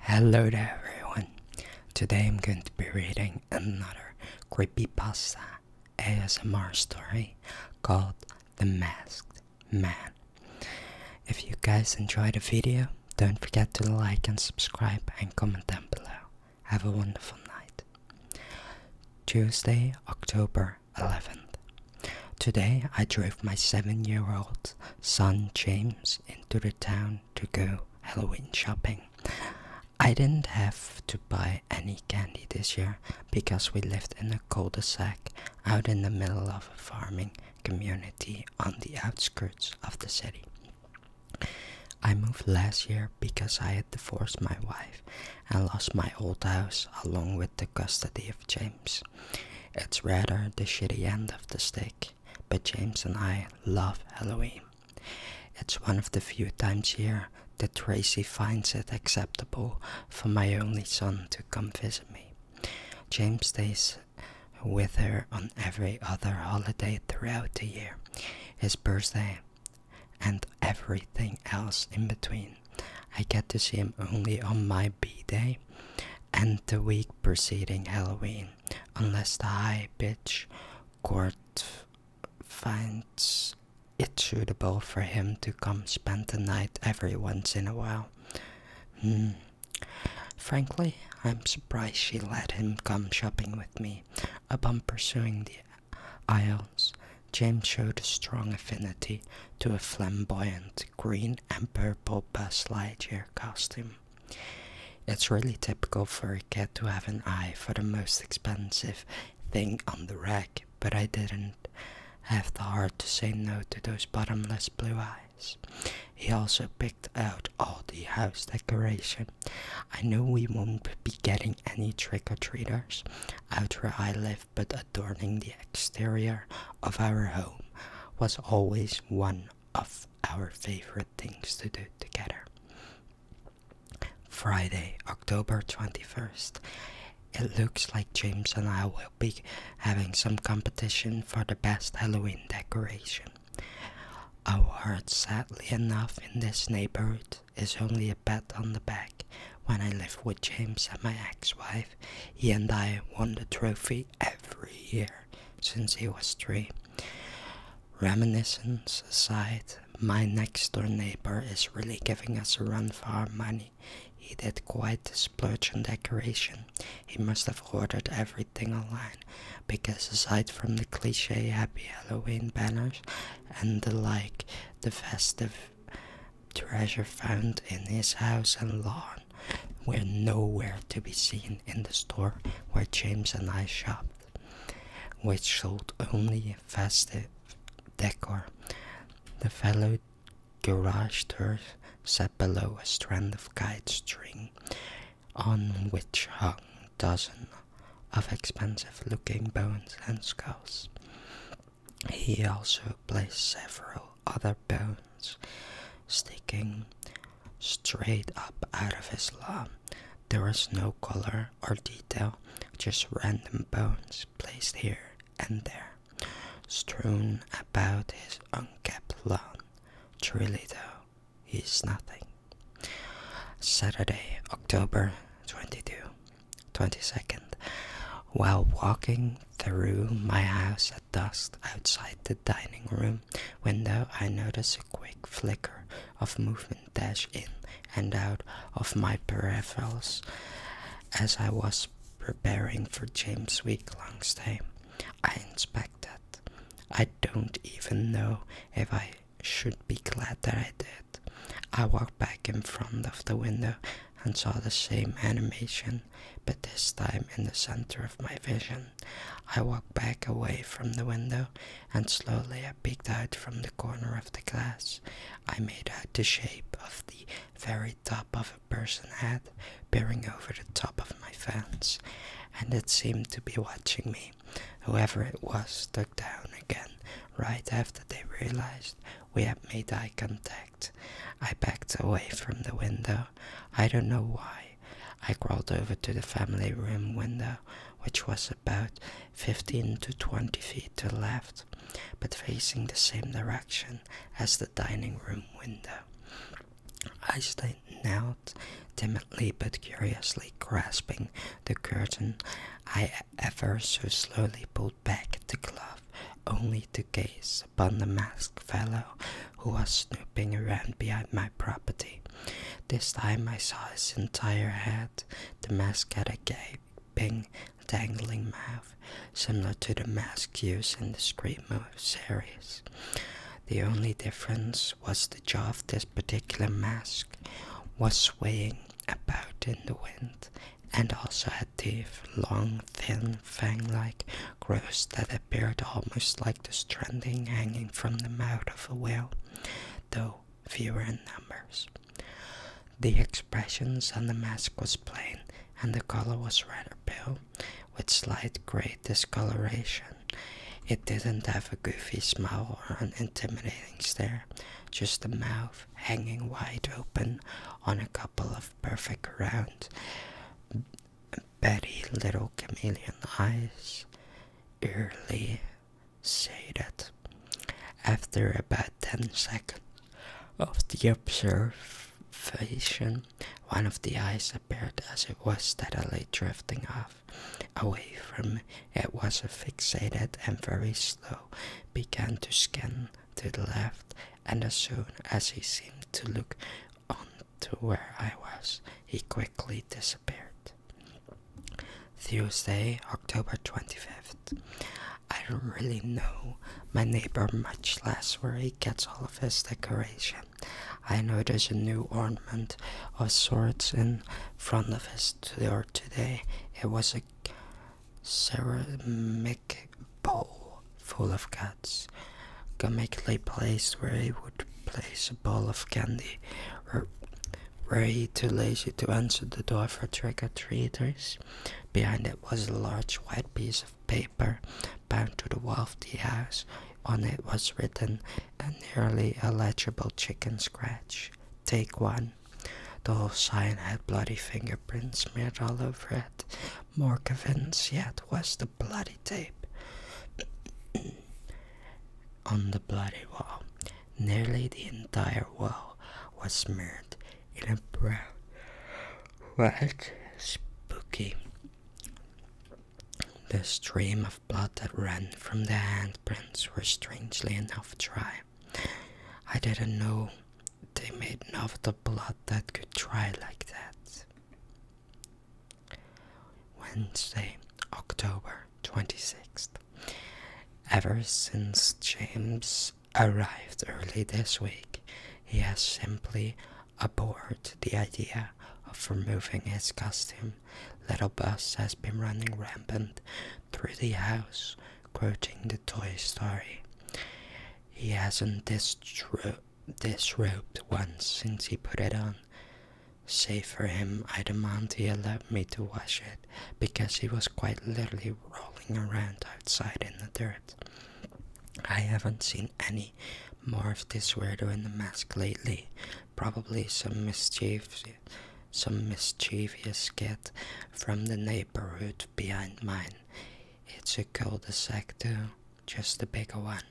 Hello everyone. Today I'm going to be reading another creepy pasta ASMR story called The Masked Man. If you guys enjoy the video, don't forget to like and subscribe and comment down below. Have a wonderful night. Tuesday, October 11th. Today I drove my seven year old son James into the town to go Halloween shopping. I didn't have to buy any candy this year because we lived in a cul-de-sac out in the middle of a farming community on the outskirts of the city. I moved last year because I had divorced my wife and lost my old house along with the custody of James. It's rather the shitty end of the stick, but James and I love Halloween. It's one of the few times a year that Tracy finds it acceptable for my only son to come visit me. James stays with her on every other holiday throughout the year, his birthday, and everything else in between. I get to see him only on my B day and the week preceding Halloween unless the high pitch court finds it suitable for him to come spend the night every once in a while. Hmm. Frankly, I'm surprised she let him come shopping with me. Upon pursuing the aisles, James showed a strong affinity to a flamboyant green and purple Buzz Lightyear costume. It's really typical for a kid to have an eye for the most expensive thing on the rack, but I didn't have the heart to say no to those bottomless blue eyes. He also picked out all the house decoration. I knew we wouldn't be getting any trick-or-treaters out where I live, but adorning the exterior of our home was always one of our favorite things to do together. Friday, October 21st. It looks like James and I will be having some competition for the best Halloween decoration. Awards, sadly enough, in this neighborhood is only a pat on the back. When I lived with James and my ex wife, he and I won the trophy every year since he was three. Reminiscence aside, my next door neighbor is really giving us a run for our money. He did quite the splurge on decoration. He must have ordered everything online, because aside from the cliche Happy Halloween banners and the like, the festive treasure found in his house and lawn were nowhere to be seen in the store where James and I shopped, which sold only festive decor. The fellow garaged doors sat below a strand of guide string, on which hung dozens of expensive-looking bones and skulls. He also placed several other bones sticking straight up out of his lawn, There was no color or detail, just random bones placed here and there, strewn about his unkempt lawn. Truly, though, he nothing. Saturday, October twenty-two, twenty-second, While walking through my house at dusk outside the dining room, window, I notice a quick flicker of movement dash in and out of my peripherals as I was preparing for James' week long stay. I inspected. I don't even know if I should be glad that I did. I walked back in front of the window and saw the same animation, but this time in the center of my vision. I walked back away from the window, and slowly I peeked out from the corner of the glass. I made out the shape of the very top of a person's head peering over the top of my fence, and it seemed to be watching me. Whoever it was ducked down again right after they realized we had made eye contact. I backed away from the window I don't know why. I crawled over to the family room window, which was about 15 to 20 feet to the left, but facing the same direction as the dining room window. I stood out, timidly but curiously grasping the curtain. I ever so slowly pulled back the cloth, only to gaze upon the masked fellow who was snooping around behind my property. This time I saw his entire head. The mask had a gaping, dangling mouth, similar to the mask used in the Scream series. The only difference was the jaw of this particular mask was swaying about in the wind and also had teeth, long, thin, fang-like growths that appeared almost like the stranding hanging from the mouth of a whale, though fewer in numbers. The expression on the mask was plain, and the color was rather pale, with slight grey discoloration. It didn't have a goofy smile or an intimidating stare, just a mouth hanging wide open on a couple of perfect rounds. Betty Little Chameleon Eyes eerily said after about 10 seconds of the observation one of the eyes appeared as it was steadily drifting off away from it was fixated and very slow began to scan to the left and as soon as he seemed to look on to where I was, he quickly disappeared. Thursday, October 25th. I don't really know my neighbor much less where he gets all of his decoration. I notice a new ornament of sorts in front of his door today. It was a ceramic bowl full of guts comically placed where he would place a bowl of candy, or were too lazy to answer the door for trick-or-treaters? Behind it was a large white piece of paper bound to the wall of the house. On it was written a nearly illegible chicken scratch. Take one. The whole sign had bloody fingerprints smeared all over it. More convinced yet was the bloody tape on the bloody wall. Nearly the entire wall was smeared in a brown, white, spooky. The stream of blood that ran from the handprints were strangely enough dry. I didn't know they made enough of the blood that could dry like that. Wednesday, October 26th. Ever since James arrived early this week, he has simply abhorred the idea of removing his costume. Little Buzz has been running rampant through the house, quoting the Toy Story. He hasn't disrobed once since he put it on. Save for him, I demand he allowed me to wash it, because he was quite literally rolling around outside in the dirt. I haven't seen any more of this weirdo in the mask lately. Probably some mischief, some mischievous kid from the neighborhood behind mine. It's a colder sector, just a bigger one.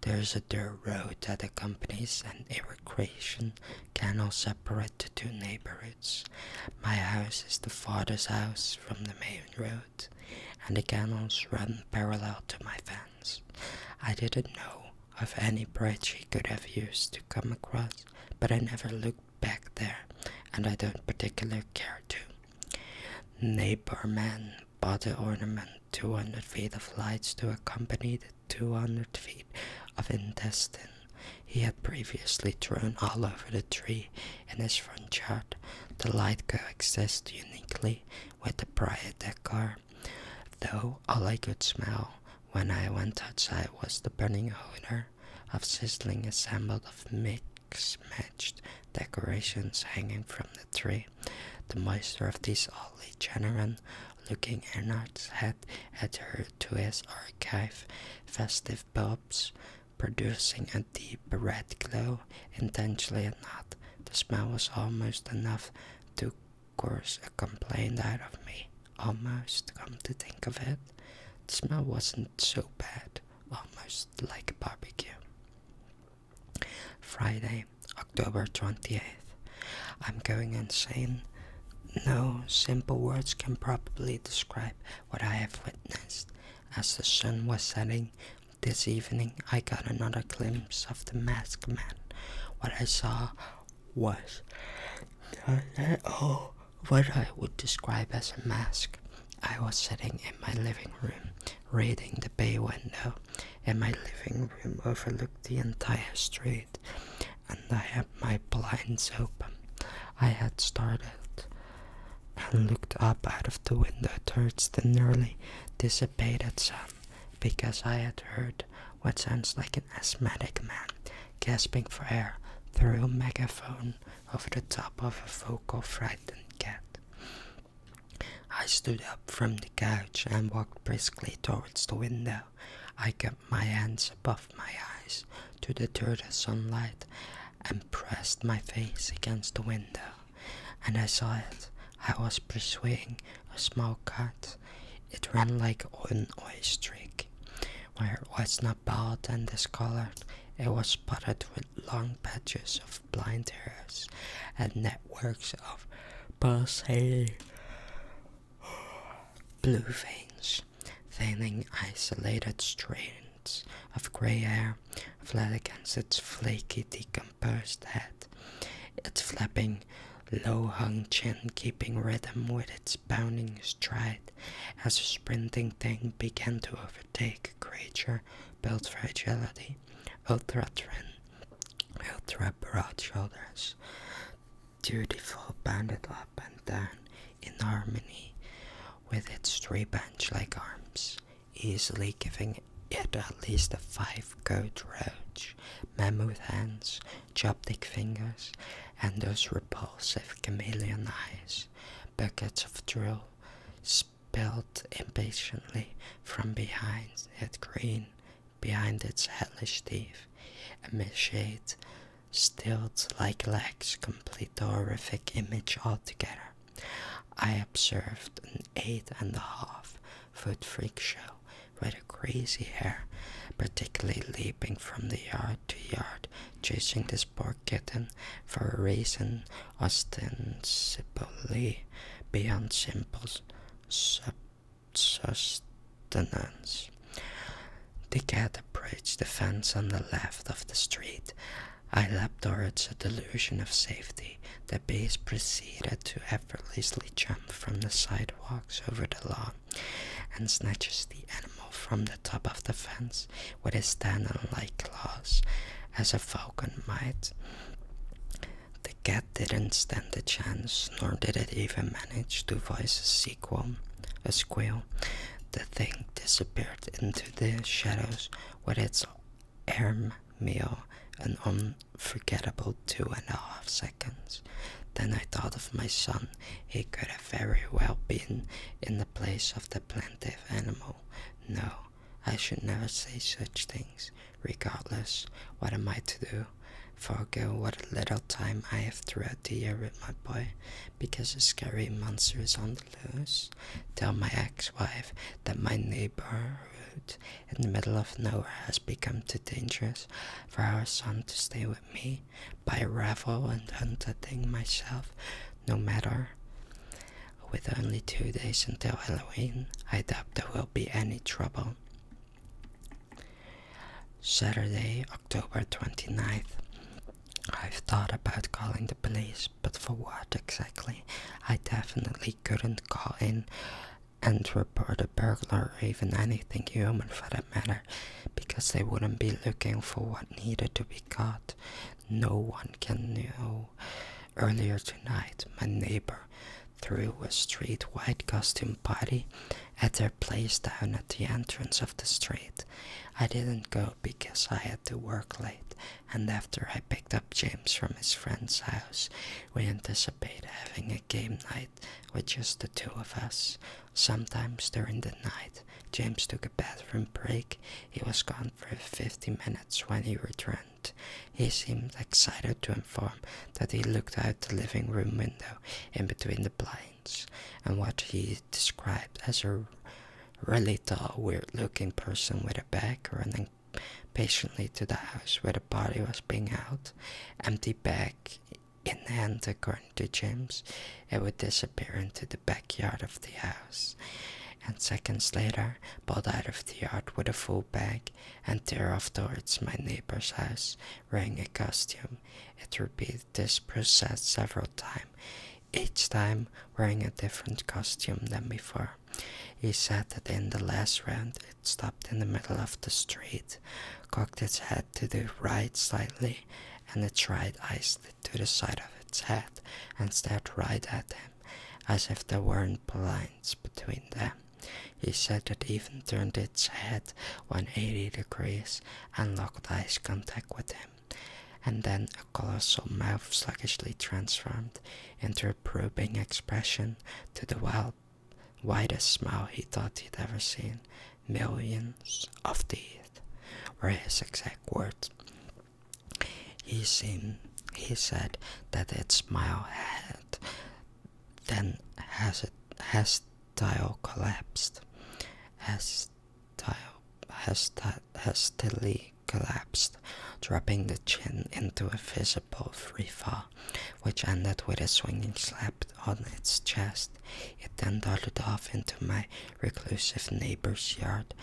There is a dirt road that accompanies and a recreation canal separate the two neighborhoods. My house is the father's house from the main road, and the canals run parallel to my fence. I didn't know of any bridge he could have used to come across, but I never looked back there, and I don't particularly care to. Neighbor men Bata ornament 200 feet of lights to accompany the 200 feet of intestine he had previously thrown all over the tree in his front yard. The light coexists uniquely with the prior decor, though all I could smell when I went outside was the burning odor of sizzling assemblage of mixed decorations hanging from the tree. The moisture of this oddly genuine looking Ernard's head adhered to his archive festive bulbs, producing a deep red glow, intentionally or not. The smell was almost enough to course a complaint out of me. Almost, come to think of it. The smell wasn't so bad, almost like a barbecue. Friday, October 28th. I'm going insane. No simple words can probably describe what I have witnessed. As the sun was setting this evening, I got another glimpse of the masked man. What I saw was oh, what I would describe as a mask. I was sitting in my living room, reading the bay window, and my living room overlooked the entire street, and I had my blinds open. I had started and looked up out of the window towards the nearly dissipated sun, because I had heard what sounds like an asthmatic man gasping for air through a megaphone over the top of a vocal frightened cat. I stood up from the couch and walked briskly towards the window. I kept my hands above my eyes to deter the sunlight and pressed my face against the window. And I saw it. I was pursuing a small cat. It ran like an oystrig. Where it was not bald and discolored, it was spotted with long patches of blind hairs and networks of pulsating Blue veins, thinning isolated strands of grey hair fled against its flaky, decomposed head, its flapping, low hung chin keeping rhythm with its bounding stride as the sprinting thing began to overtake creature built for agility, ultra trend We'll wrap broad shoulders, dutiful banded up and down in harmony with its three bench-like arms, easily giving it at least a 5 goat roach, mammoth hands, chopstick fingers, and those repulsive chameleon eyes, buckets of drill spilled impatiently from behind that green behind its hellish teeth, emit shades stilts like legs complete the horrific image altogether. I observed an eight and a half foot freak show with a crazy hair, particularly leaping from the yard to yard, chasing this poor kitten for a reason ostensibly beyond simple sub sustenance. The cat approached the fence on the left of the street. I leapt towards a delusion of safety. The beast proceeded to effortlessly jump from the sidewalks over the lawn and snatches the animal from the top of the fence with his tendon-like claws, as a falcon might. The cat didn't stand a chance, nor did it even manage to voice a sequel, a squeal. The thing disappeared into the shadows with its arm meal an unforgettable two and a half seconds. Then I thought of my son. He could have very well been in the place of the plaintive animal. No, I should never say such things. Regardless, what am I to do? Forgo what little time I have throughout the year with my boy because a scary monster is on the loose. Tell my ex wife that my neighborhood in the middle of nowhere has become too dangerous for our son to stay with me I revel and hunting myself no matter. With only two days until Halloween, I doubt there will be any trouble. Saturday, October 29th. I've thought about calling the police, but for what exactly? I definitely couldn't call in and report a burglar or even anything human for that matter, because they wouldn't be looking for what needed to be caught. No one can know. Earlier tonight, my neighbor through a street-wide costume party at their place down at the entrance of the street. I didn't go because I had to work late, and after I picked up James from his friend's house, we anticipated having a game night with just the two of us. Sometimes during the night, James took a bathroom break. He was gone for 50 minutes when he returned. He seemed excited to inform that he looked out the living room window in between the blinds, and what he described as a really tall, weird-looking person with a bag running patiently to the house where the body was being held, empty bag in hand according to James, it would disappear into the backyard of the house, and seconds later, pulled out of the yard with a full bag and tear off towards my neighbor's house wearing a costume. It repeated this process several times, each time wearing a different costume than before. He said that in the last round it stopped in the middle of the street, cocked its head to the right slightly, and its right eye slid to the side of its head and stared right at him, as if they weren't blind between them. He said it even turned its head 180 degrees and locked eyes contact with him, and then a colossal mouth sluggishly transformed into a probing expression to the wild, widest smile he thought he'd ever seen. Millions of teeth were his exact words. He seemed he said that its smile had then has it has tile collapsed? Has tile has hastily collapsed, dropping the chin into a visible free fall, which ended with a swinging slap on its chest. It then darted off into my reclusive neighbor's yard,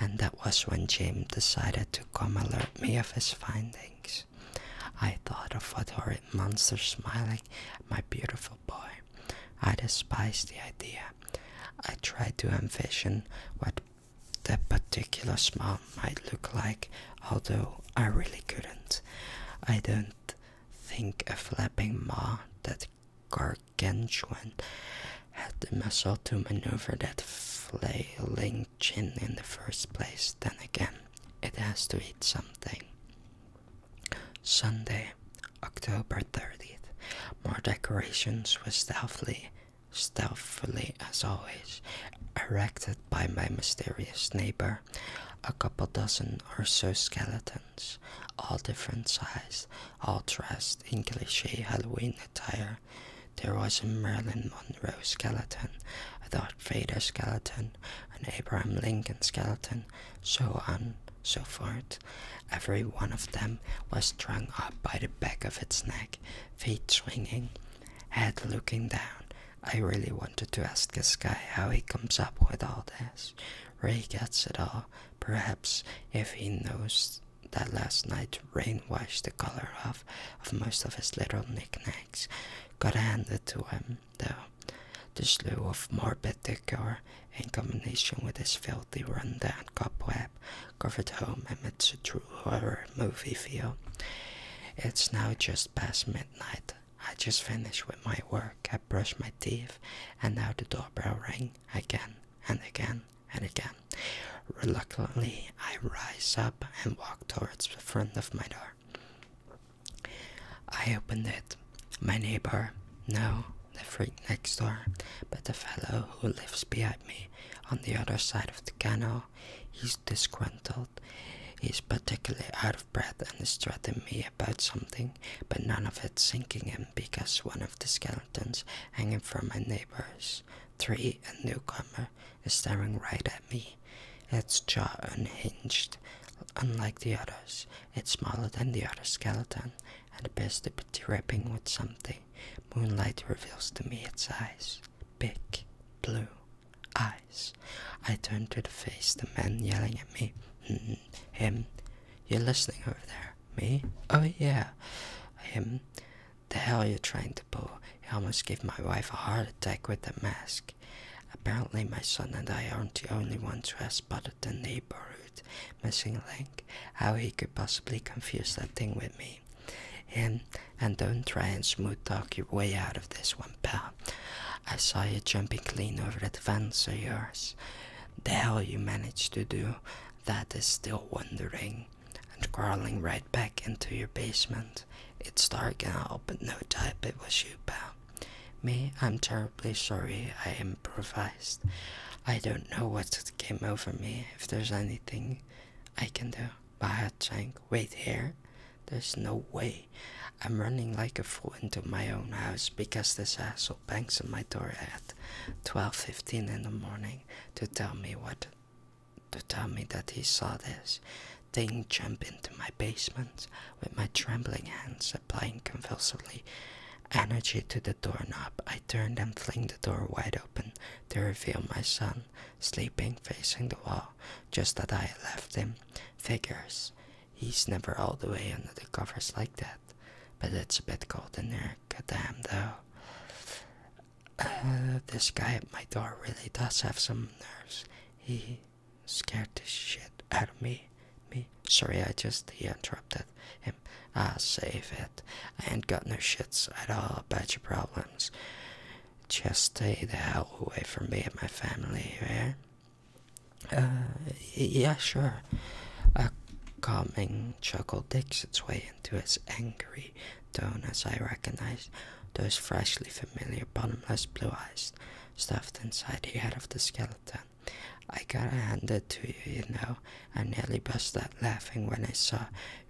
and that was when Jim decided to come alert me of his findings. I thought of what horrid monster smiling at my beautiful boy. I despised the idea. I tried to envision what that particular smile might look like, although I really couldn't. I don't think a flapping maw that gargantuan had the muscle to maneuver that flailing chin in the first place, then again. It has to eat something. Sunday, October 30th. More decorations were stealthily, stealthily as always, erected by my mysterious neighbor. A couple dozen or so skeletons, all different size, all dressed in cliche Halloween attire. There was a Marilyn Monroe skeleton, a Darth Vader skeleton, an Abraham Lincoln skeleton, so on, so forth. Every one of them was strung up by the back of its neck, feet swinging, head looking down. I really wanted to ask this guy how he comes up with all this. Ray gets it all. Perhaps if he knows that last night rain washed the color off of most of his little knickknacks, got handed to him though. The slew of morbid decor, in combination with this filthy rundown cobweb, covered home emits a true horror movie feel. It's now just past midnight. I just finished with my work, I brushed my teeth, and now the doorbell rang again and again and again. Reluctantly, I rise up and walk towards the front of my door. I opened it. My neighbor, no, the freak next door, but the fellow who lives behind me on the other side of the canal, he's disgruntled. He's particularly out of breath and is threatening me about something, but none of it's sinking in because one of the skeletons hanging from my neighbor's tree, a newcomer, is staring right at me. Its jaw unhinged, unlike the others. It's smaller than the other skeleton, and appears to be dripping with something. Moonlight reveals to me its eyes. Big, blue eyes. I turn to the face, the man yelling at me. Hmm, him. You're listening over there. Me? Oh yeah. Him. The hell you're trying to pull. You almost gave my wife a heart attack with the mask. Apparently, my son and I aren't the only ones who have spotted the neighborhood missing link. How he could possibly confuse that thing with me. Him, and don't try and smooth talk your way out of this one, pal. I saw you jumping clean over the fence of yours. The hell you managed to do, that is still wondering. And crawling right back into your basement. It's dark now, but no doubt it was you, pal. Me, I'm terribly sorry I improvised. I don't know what came over me, if there's anything I can do. Bahachang, wait here. There's no way. I'm running like a fool into my own house because this asshole bangs on my door at 12.15 in the morning to tell me what to tell me that he saw this Thing jump into my basement with my trembling hands applying convulsively energy to the doorknob. I turn and fling the door wide open to reveal my son sleeping facing the wall just as I left him. Figures. He's never all the way under the covers like that. But it's a bit cold in there. Goddamn though. Uh, this guy at my door really does have some nerves. He scared the shit out of me. Me? Sorry, I just he interrupted him. Ah, save it. I ain't got no shits at all about your problems. Just stay the hell away from me and my family, yeah? Uh, yeah, sure. A calming chuckle digs its way into his angry tone as I recognize those freshly familiar bottomless blue eyes stuffed inside the head of the skeleton. I gotta hand it to you, you know. I nearly burst out laughing when I saw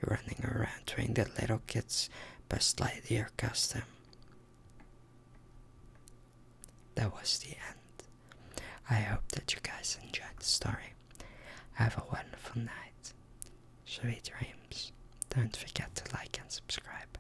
you running around doing the little kid's best Lightyear custom. That was the end. I hope that you guys enjoyed the story. Have a wonderful night. Sweet dreams. Don't forget to like and subscribe.